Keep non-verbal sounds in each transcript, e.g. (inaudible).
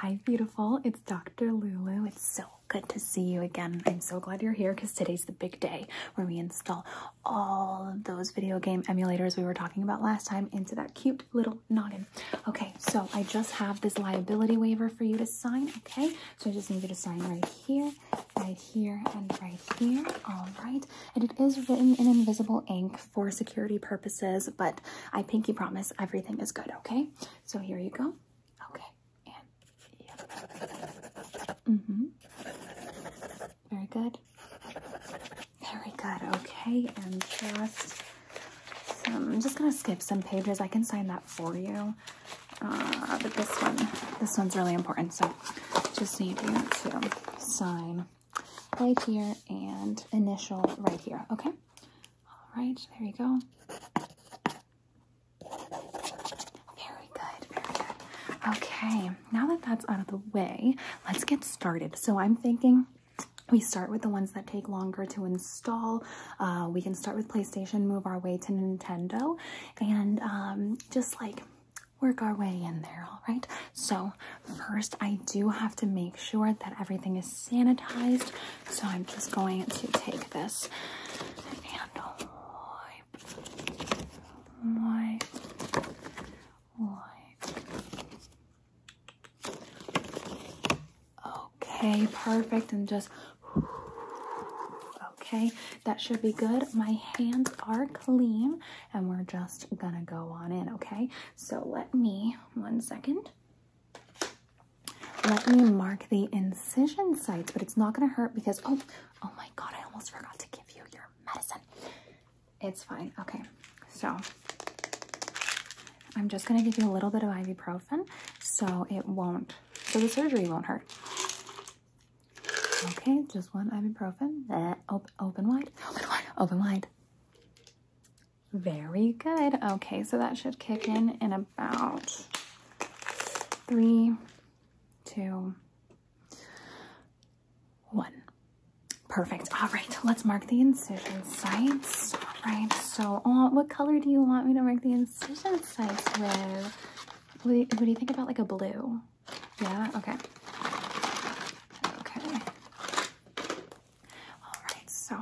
Hi, beautiful. It's Dr. Lulu. It's so good to see you again. I'm so glad you're here because today's the big day where we install all of those video game emulators we were talking about last time into that cute little noggin. Okay, so I just have this liability waiver for you to sign, okay? So I just need you to sign right here, right here, and right here. All right. And it is written in invisible ink for security purposes, but I pinky promise everything is good, okay? So here you go. Okay. And yep. Mm-hmm. Very good. Very good. Okay. And just um, I'm just going to skip some pages. I can sign that for you. Uh, but this one, this one's really important. So just need you to sign right here and initial right here. Okay. All right, there you go. Very good, very good. Okay, now that that's out of the way, let's get started. So I'm thinking we start with the ones that take longer to install. Uh, we can start with PlayStation, move our way to Nintendo, and um, just like work our way in there, all right? So first, I do have to make sure that everything is sanitized. So I'm just going to take this Okay, perfect. And just okay that should be good my hands are clean and we're just gonna go on in okay so let me one second let me mark the incision sites, but it's not going to hurt because, oh, oh my God, I almost forgot to give you your medicine. It's fine. Okay. So I'm just going to give you a little bit of ibuprofen so it won't, so the surgery won't hurt. Okay, just one ibuprofen. (gasps) open wide, open wide, open wide. Very good. Okay, so that should kick in in about three, two, one. Perfect. All right, let's mark the incision sites. All right, so uh, what color do you want me to mark the incision sites with? What do, you, what do you think about like a blue? Yeah, okay. Okay. All right, so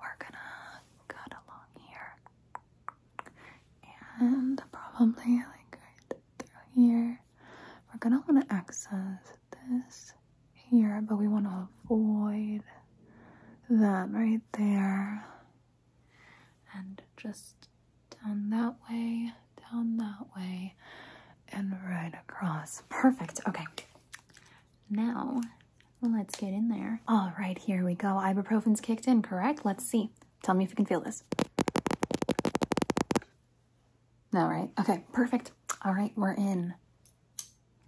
we're gonna cut along here and probably like through here. We're gonna want to access this here, but we want to avoid that right there and just down that way, down that way, and right across. Perfect. Okay, now, let's get in there. All right, here we go. Ibuprofen's kicked in, correct? Let's see. Tell me if you can feel this. No, right? Okay, perfect. All right, we're in.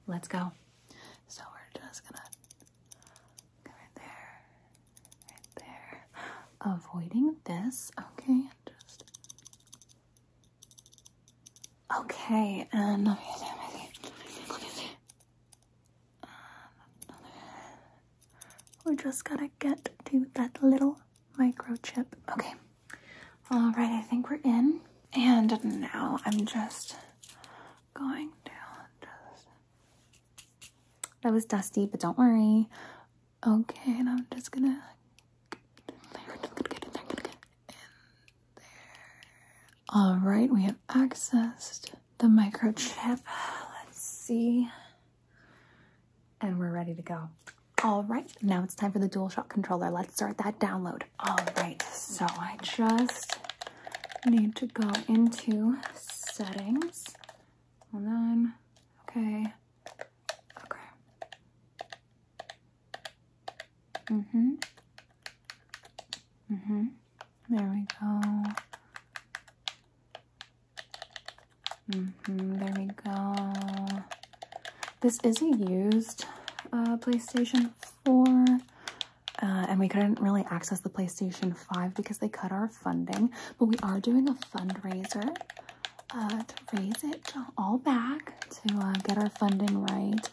Let's go. So we're just gonna go right there, right there. Avoiding this, okay, Okay, and um, we just gotta get to that little microchip. Okay, all right, I think we're in. And now I'm just going down. That was dusty, but don't worry. Okay, and I'm just gonna there. All right, we have accessed the microchip. Let's see. And we're ready to go. All right, now it's time for the DualShock controller. Let's start that download. All right, so I just need to go into settings. Hold on. Okay. Okay. Mm-hmm. Mm-hmm. There we go. Mm-hmm. There we go. This is a used uh, PlayStation 4. Uh, and we couldn't really access the PlayStation 5 because they cut our funding. But we are doing a fundraiser uh, to raise it all back to uh, get our funding right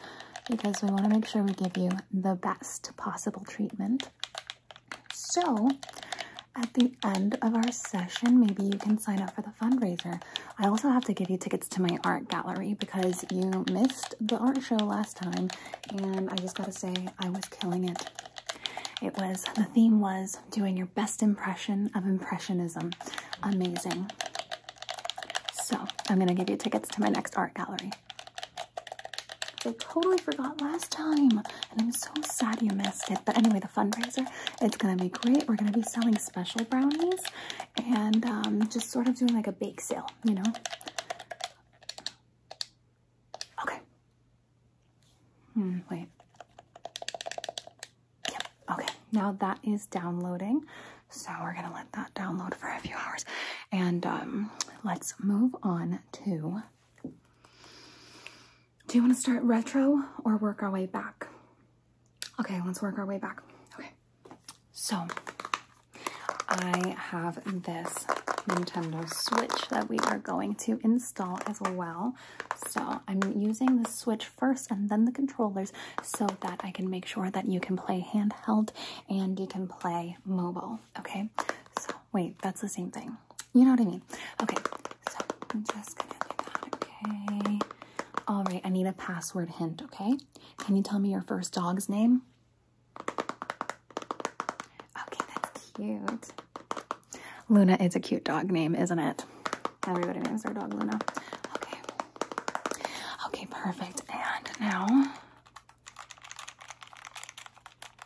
because we want to make sure we give you the best possible treatment. So, at the end of our session, maybe you can sign up for the fundraiser. I also have to give you tickets to my art gallery because you missed the art show last time, and I just gotta say, I was killing it. It was, the theme was doing your best impression of Impressionism. Amazing. So I'm gonna give you tickets to my next art gallery. I totally forgot last time, and I'm so sad you missed it. But anyway, the fundraiser, it's gonna be great. We're gonna be selling special brownies and um, just sort of doing like a bake sale, you know? Okay. Hmm, wait. Yep, okay. Now that is downloading. So we're gonna let that download for a few hours, and um, let's move on to. Do you want to start retro or work our way back? Okay, let's work our way back. Okay, so I have this Nintendo Switch that we are going to install as well. So I'm using the Switch first and then the controllers so that I can make sure that you can play hand Held and you can play mobile. Okay, so wait, that's the same thing. You know what I mean? Okay, so I'm just gonna Okay, all right, I need a password hint. Okay, can you tell me your first dog's name? Okay, that's cute. Luna is a cute dog name, isn't it? Everybody names their dog Luna. Okay. Okay, perfect. And now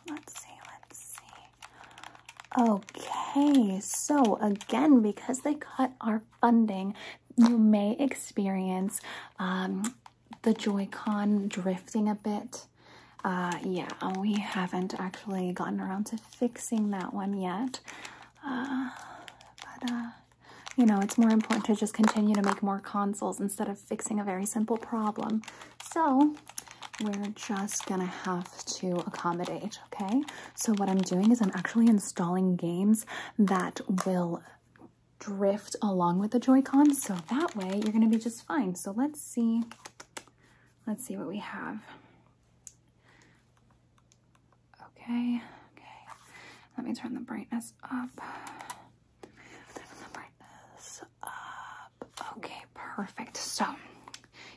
Let's see, let's see. Okay, so again, because they cut our funding, you may experience um, the Joy-Con drifting a bit. Uh, yeah, we haven't actually gotten around to fixing that one yet. Uh, but uh, you know, it's more important to just continue to make more consoles instead of fixing a very simple problem. So we're just gonna have to accommodate, okay? So what I'm doing is I'm actually installing games that will drift along with the Joy-Con, so that way you're gonna be just fine. So let's see, let's see what we have. Okay, okay, let me turn the brightness up. Okay, perfect. So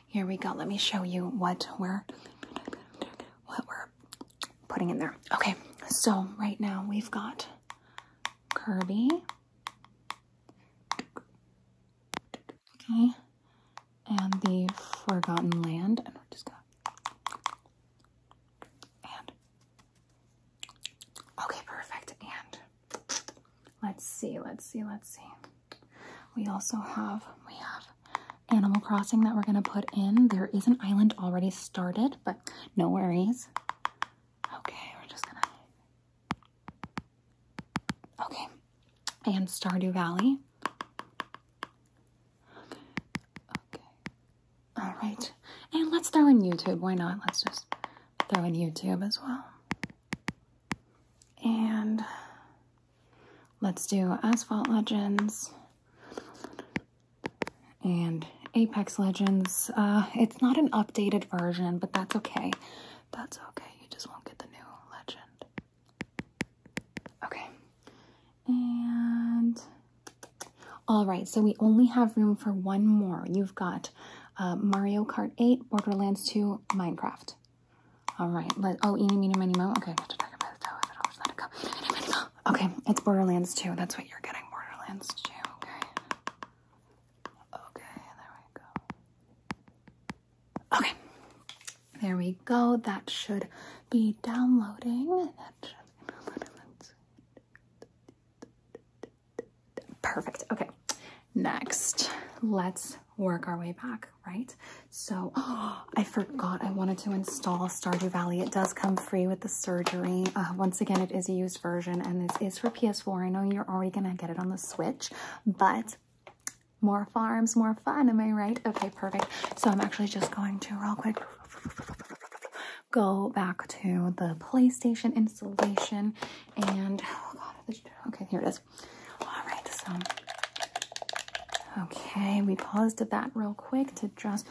here we go. Let me show you what we're what we're putting in there. Okay, so right now we've got Kirby. Okay. And the Forgotten Land. And we're just gonna Okay, perfect. And let's see, let's see, let's see. We also have, we have Animal Crossing that we're gonna put in. There is an island already started, but no worries. Okay, we're just gonna, okay. And Stardew Valley. Okay, all right. And let's throw in YouTube. Why not? Let's just throw in YouTube as well. And let's do Asphalt Legends and Apex Legends. Uh, it's not an updated version, but that's okay. That's okay. You just won't get the new legend. Okay. And all right, so we only have room for one more. You've got uh, Mario Kart 8, Borderlands 2, Minecraft. All right, let, oh, eeny, meeny, miny, mo. Okay, I have to talk about it, I'll just let it go. Eeny, Okay, it's Borderlands 2. That's what you're getting, Borderlands 2. Okay. Okay, there we go. Okay, there we go. That should be downloading. Perfect. Okay. Next, let's work our way back, right? So, (gasps) I forgot I wanted to install Stardew Valley. It does come free with the surgery. Uh, once again, it is a used version and this is for PS4. I know you're already going to get it on the Switch, but more farms, more fun. Am I right? Okay, perfect. So I'm actually just going to real quick go back to the PlayStation installation and oh okay, here it is. All right, so okay, we paused at that real quick to just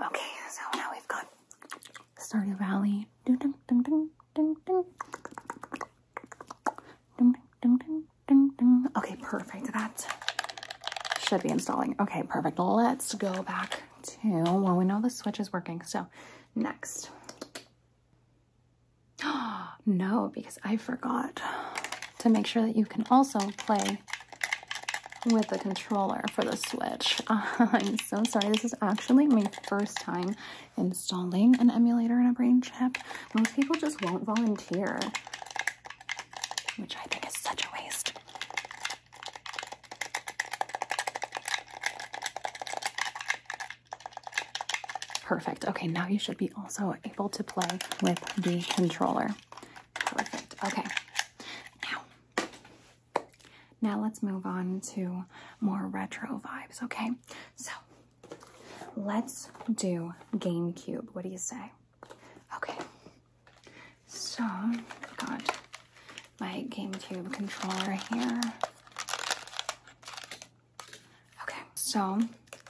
okay, so now we've got Stardew Valley. Ding, ding, ding, ding, ding, ding. Ding, ding, ding, Okay, perfect. That should be installing. Okay, perfect. Let's go back to, well, we know the switch is working. So next. (gasps) no, because I forgot to make sure that you can also play with the controller for the Switch. (laughs) I'm so sorry. This is actually my first time installing an emulator in a brain chip. Most people just won't volunteer which I think is such a waste. Perfect. Okay, now you should be also able to play with the controller. Perfect. Okay. Now, now let's move on to more retro vibes, okay? So, let's do GameCube. What do you say? Okay, so I've got my GameCube controller here. Okay, so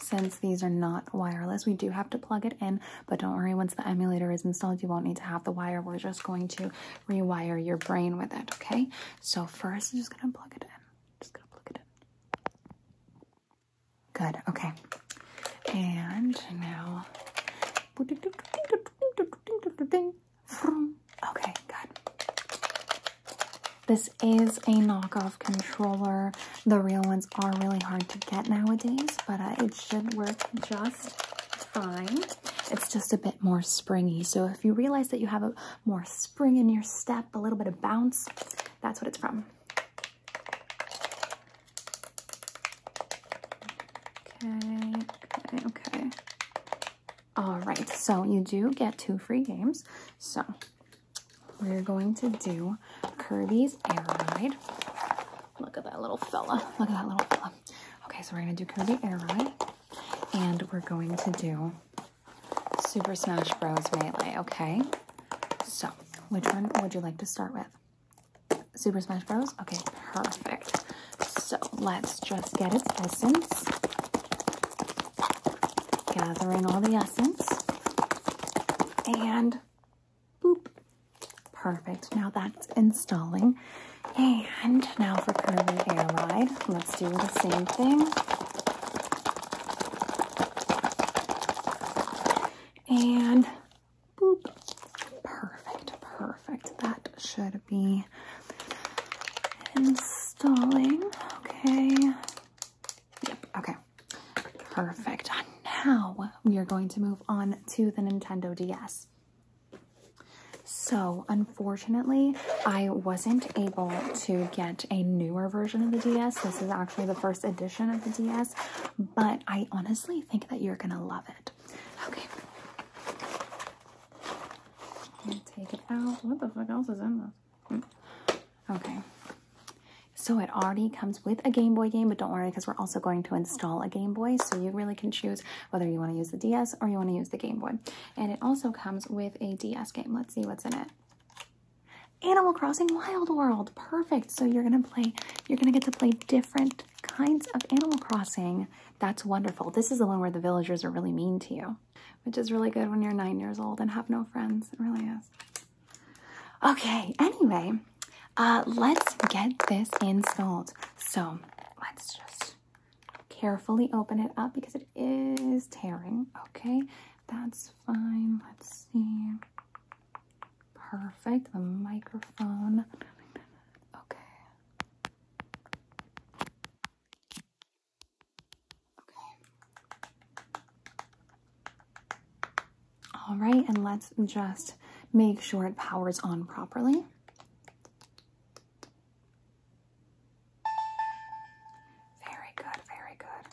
since these are not wireless, we do have to plug it in, but don't worry, once the emulator is installed, you won't need to have the wire. We're just going to rewire your brain with it, okay? So first, I'm just gonna plug it in. Just gonna plug it in. Good, okay. And now. Okay, good. This is a knockoff controller. The real ones are really hard to get nowadays, but uh, it should work just fine. It's just a bit more springy. So if you realize that you have a more spring in your step, a little bit of bounce, that's what it's from. Okay, okay, okay. All right, so you do get two free games. So we're going to do Kirby's Air Ride. Look at that little fella. Look at that little fella. Okay, so we're going to do Kirby Air Ride. And we're going to do Super Smash Bros. Melee, okay? So, which one would you like to start with? Super Smash Bros? Okay, perfect. So, let's just get its essence. Gather in all the essence. And boop. Perfect. Now that's installing. And now for Curly Air Ride, let's do the same thing and boop. Perfect, perfect. That should be installing. Okay. Yep, okay. Perfect. Now we are going to move on to the Nintendo DS. So, unfortunately, I wasn't able to get a newer version of the DS. This is actually the first edition of the DS but I honestly think that you're gonna love it. Okay. Take it out. What the fuck else is in this? Hmm. Okay. So it already comes with a Game Boy game, but don't worry because we're also going to install a Game Boy. So you really can choose whether you want to use the DS or you want to use the Game Boy. And it also comes with a DS game. Let's see what's in it. Animal Crossing Wild World. Perfect. So you're going to play, you're going to get to play different kinds of Animal Crossing. That's wonderful. This is the one where the villagers are really mean to you, which is really good when you're nine years old and have no friends. It really is. Okay, anyway, uh, let's get this installed. So let's just carefully open it up because it is tearing. Okay, that's fine. Let's see. Perfect. The microphone. Okay. All right, and let's just make sure it powers on properly. Very good, very good.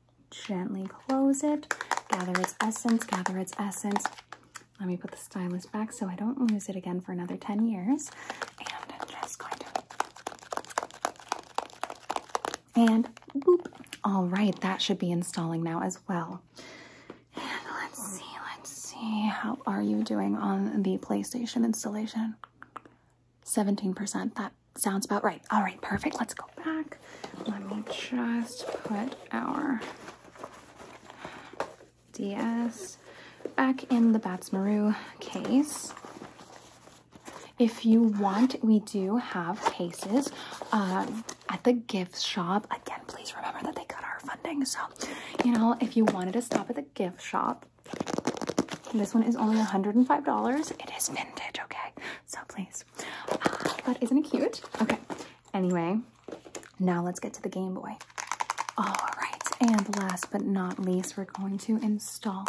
gently close it, gather its essence, gather its essence. Let me put the stylus back so I don't lose it again for another 10 years. And just going to... And boop. All right, that should be installing now as well. And let's see, let's see. How are you doing on the PlayStation installation? 17%. That sounds about right. All right, perfect. Let's go back. Let me just put our DS back in the Bats Maru case. If you want, we do have cases uh, at the gift shop. Again, please remember that they cut our funding. So, you know, if you wanted to stop at the gift shop, this one is only $105. It is vintage, okay? So please that ah, not cute? Okay. Anyway, now let's get to the Game Boy. All right. And last but not least, we're going to install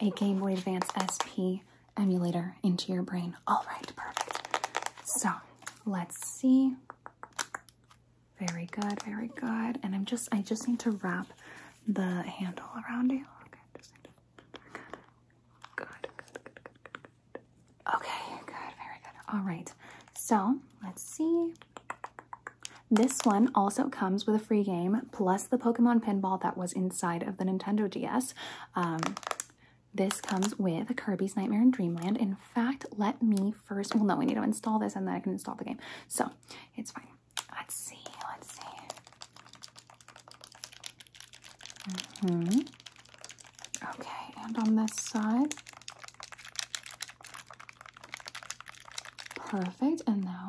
a Game Boy Advance SP emulator into your brain. All right. Perfect. So let's see. Very good. Very good. And I'm just, I just need to wrap the handle around you. Okay. good. Good, good, good, good, good, Okay, good, very good. All right, so let's see. This one also comes with a free game plus the Pokemon Pinball that was inside of the Nintendo DS. Um, this comes with Kirby's Nightmare in Dreamland. In fact, let me first, well, no, we need to install this and then I can install the game. So it's fine. Let's see, let's see. -hmm. Okay, and on this side. Perfect, and now.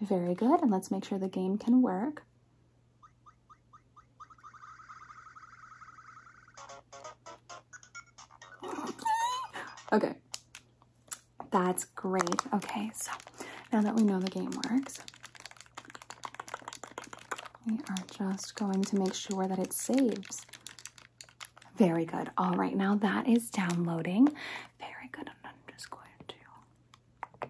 Very good, and let's make sure the game can work. (laughs) Okay, that's great. Okay, so now that we know the game works, we are just going to make sure that it saves. Very good. All right, now that is downloading. Very good. I'm just going to.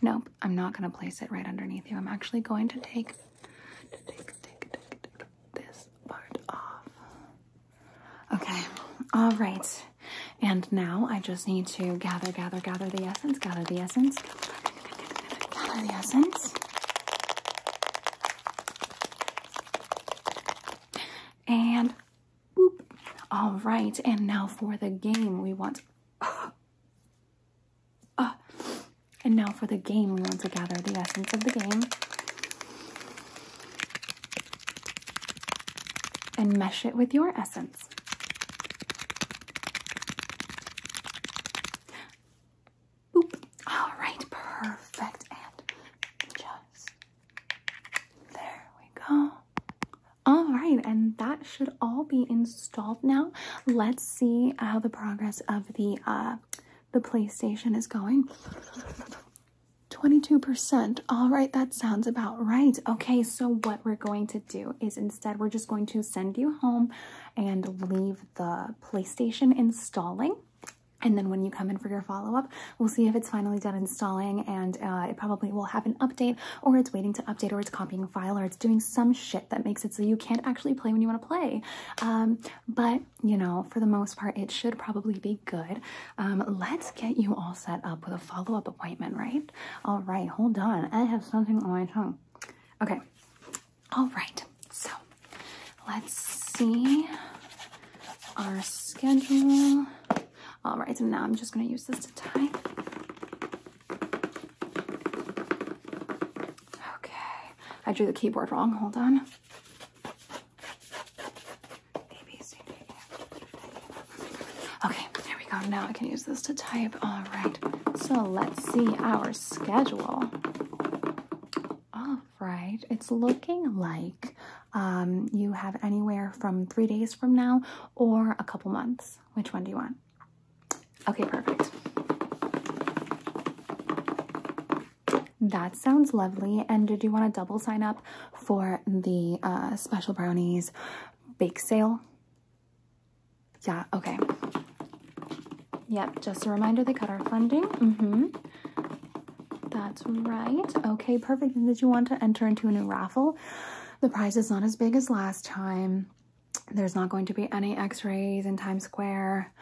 Nope, I'm not going to place it right underneath you. I'm actually going to take, take this part off. Okay. All right. And now I just need to gather, gather, gather the essence, gather the essence, gather the essence. And boop. All right. And now for the game, we want. Uh, uh, and now for the game, we want to gather the essence of the game. and mesh it with your essence. All right, perfect. And just there we go. All right, and that should all be installed now. Let's see how the progress of the uh, the PlayStation is going. 22%. All right, that sounds about right. Okay, so what we're going to do is instead we're just going to send you home and leave the PlayStation installing. And then when you come in for your follow-up, we'll see if it's finally done installing and uh, it probably will have an update or it's waiting to update or it's copying a file or it's doing some shit that makes it so you can't actually play when you want to play. Um, but, you know, for the most part, it should probably be good. Um, let's get you all set up with a follow-up appointment, right? All right, hold on. I have something on my tongue. Okay. All right. So, let's see our schedule. All right, so now I'm just going to use this to tie. Okay. I drew the keyboard wrong. Hold on. Okay, there we go. Now I can use this to type. All right, so let's see our schedule. All right, it's looking like um, you have anywhere from three days from now or a couple months. Which one do you want? Okay, perfect. That sounds lovely. And did you want to double sign up for the uh, special brownies bake sale? Yeah, okay. Yep, just a reminder they cut our funding. Mm-hmm. That's right. Okay, perfect. And did you want to enter into a new raffle? The prize is not as big as last time. There's not going to be any x-rays in Times Square.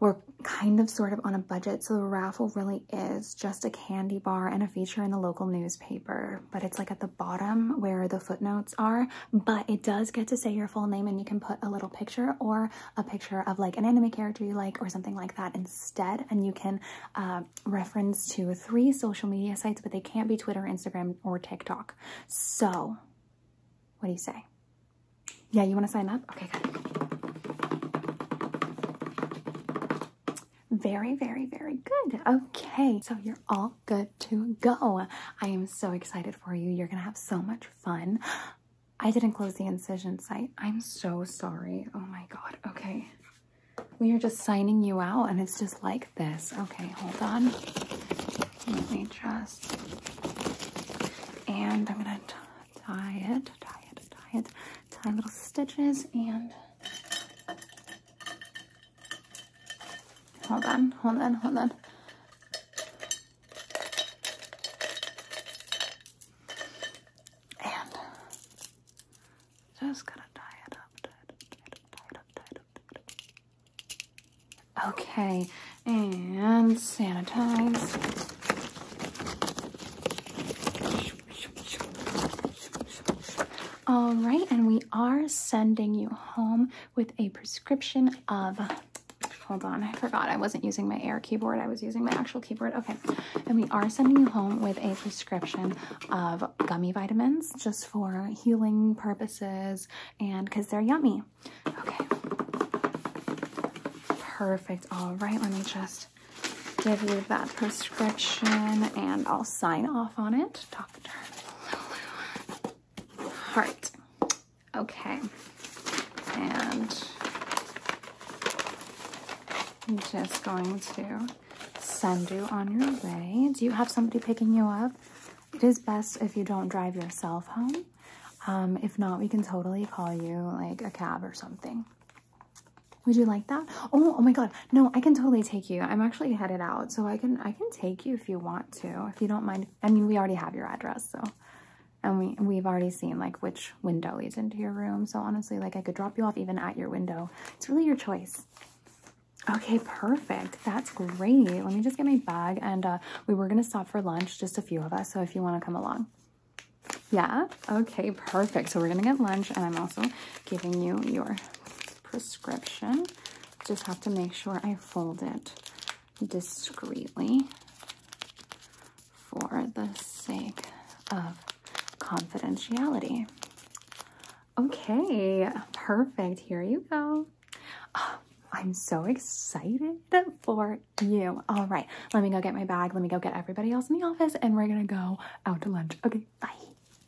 We're kind of sort of on a budget, so the raffle really is just a candy bar and a feature in the local newspaper, but it's like at the bottom where the footnotes are, but it does get to say your full name and you can put a little picture or a picture of like an anime character you like or something like that instead. And you can uh, reference to three social media sites, but they can't be Twitter, Instagram, or TikTok. So what do you say? Yeah, you want to sign up? Okay, good. Very, very, very good. Okay, so you're all good to go. I am so excited for you. You're gonna have so much fun. I didn't close the incision site. I'm so sorry. Oh my god. Okay. We are just signing you out and it's just like this. Okay, hold on. Let me just... And I'm gonna tie it, tie it, tie it, tie little stitches and Hold on, hold on, hold on. And just gonna tie it up, Okay, and sanitize. All right, and we are sending you home with a prescription of hold on, I forgot I wasn't using my air keyboard, I was using my actual keyboard. Okay, and we are sending you home with a prescription of gummy vitamins just for healing purposes and because they're yummy. Okay, perfect. All right, let me just give you that prescription and I'll sign off on it. Dr. Okay. And I'm just going to send you on your way. Do you have somebody picking you up? It is best if you don't drive yourself home. Um, if not, we can totally call you like a cab or something. Would you like that? Oh, oh my God no i can totally take you i'm actually headed out so i can i can take you if you want to if you don't mind i mean we already have your address so and we we've already seen like which window leads into your room so honestly like i could drop you off even at your window it's really your choice okay perfect that's great let me just get my bag and uh we were gonna stop for lunch just a few of us so if you want to come along yeah okay perfect so we're gonna get lunch and i'm also giving you your prescription. Just have to make sure I fold it discreetly for the sake of confidentiality. Okay, perfect. Here you go. Ah, I'm so excited for you. All right, let me go get my bag. Let me go get everybody else in the office and we're gonna go out to lunch. Okay, bye.